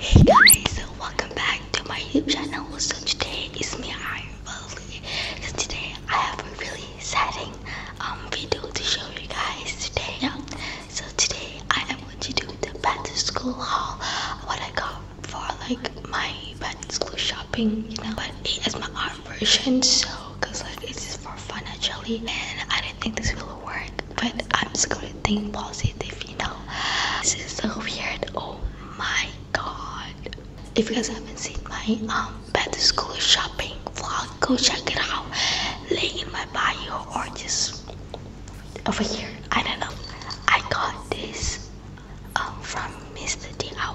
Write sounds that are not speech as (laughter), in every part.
Hey guys, welcome back to my YouTube channel. So today is me, I Valley. So today I have a really exciting um video to show you guys today. So today I am going to do the back to School haul. What I got for like my back to School shopping, you know. But it is my art version, so cause like it's just for fun actually. And I didn't think this will work, but I'm just gonna think positive, you know. This is so weird. Oh my god! If you guys haven't seen my um to School shopping vlog, go check it out. Link in my bio or just over here. I don't know. I got this um, from Mr. DIY.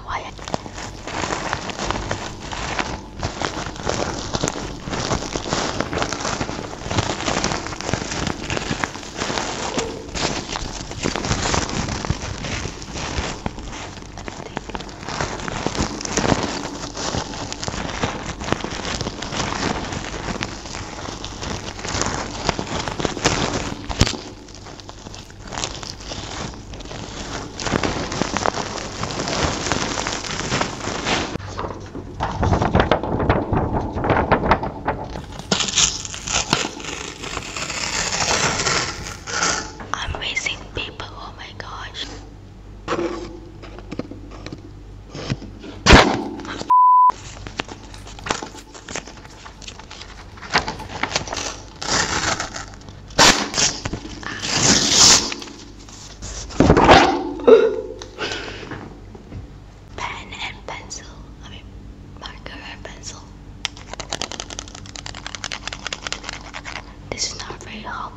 I'm missing people, oh my gosh. Pen and pencil. I mean, marker and pencil. This is not very hot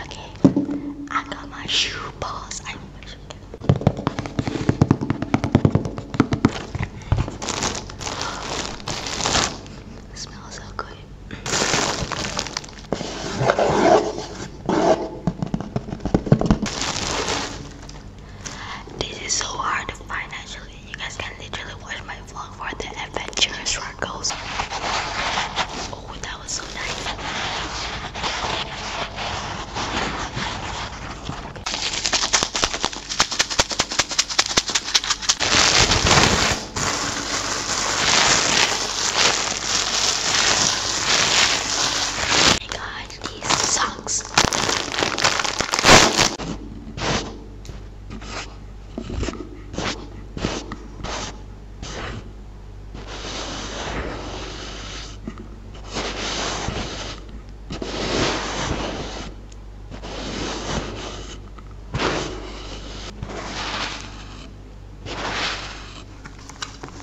Okay, I got my shoe balls. I it smells so good. This is so hard to you guys can literally watch my vlog for the adventurous goes. Oh, that was so nice. Hey guys, these socks.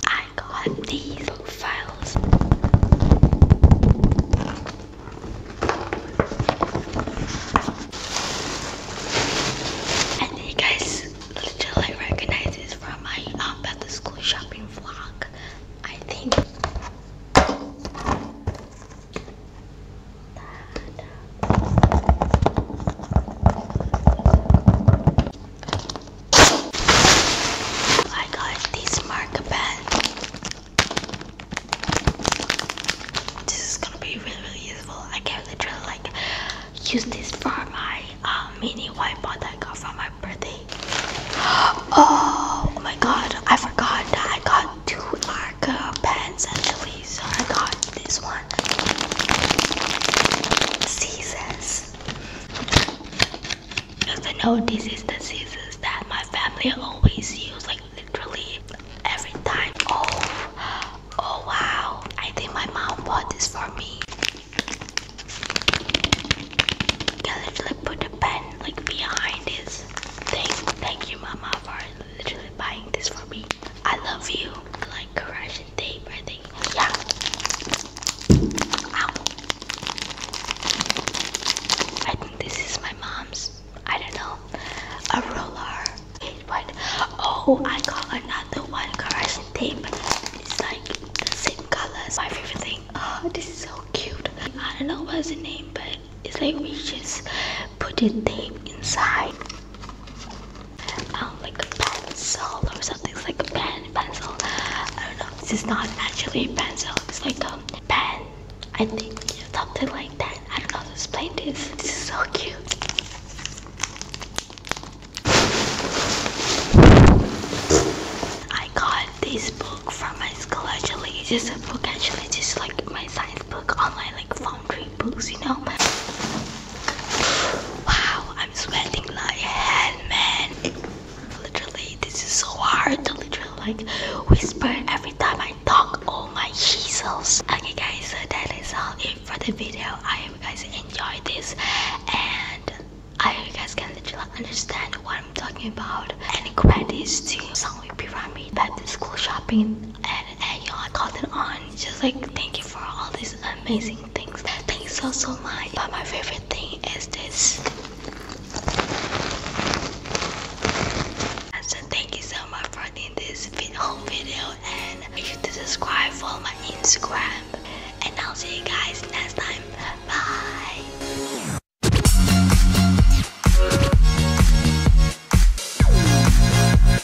I got these files I you guys literally recognize this from my um at the school shopping vlog. I think Oh my gosh, these marker pens. This is gonna be really really useful. I can literally like use this for my uh, mini whiteboard I got for my birthday. (gasps) Oh, my god, I forgot that I got two marker pens actually, so I got this one. Seasons. Because I know this is the scissors that my family always use, like literally every time. Oh, oh wow. I think my mom bought this for me. can literally put the pen like behind this thing. Thank you mama for literally buying this for me. I love you. Like correction tape, I think. Yeah. Ow. I think this is my mom's. I don't know. A roller. Wait, what? Oh, I got another one. Correction tape. It's like the same colors. My favorite thing. Oh, this is so cute. I don't know what's the name, but it's like we just put the tape inside like a pencil or something. like a pen, pencil. I don't know. This is not actually a pencil. It's like a pen. I think something like that. I don't know how to explain this. This is so cute. I got this book from my school actually. It's just a book actually. just like my science book online, like Foundry books, you know. Wow, sweating like hell, man. Literally, this is so hard to literally like whisper every time I talk. All my Jesus. Okay, guys, so that is all it for the video. I hope you guys enjoyed this and I hope you guys can literally understand what I'm talking about. And comment this to Songwei Pyramid, Baptist School Shopping. And and, y'all called it on. Just like thank you for all these amazing things. Thank you so so much. But my favorite thing is this. And so thank you so much for doing this video, whole video and make sure to subscribe, for my Instagram. And I'll see you guys next time. Bye.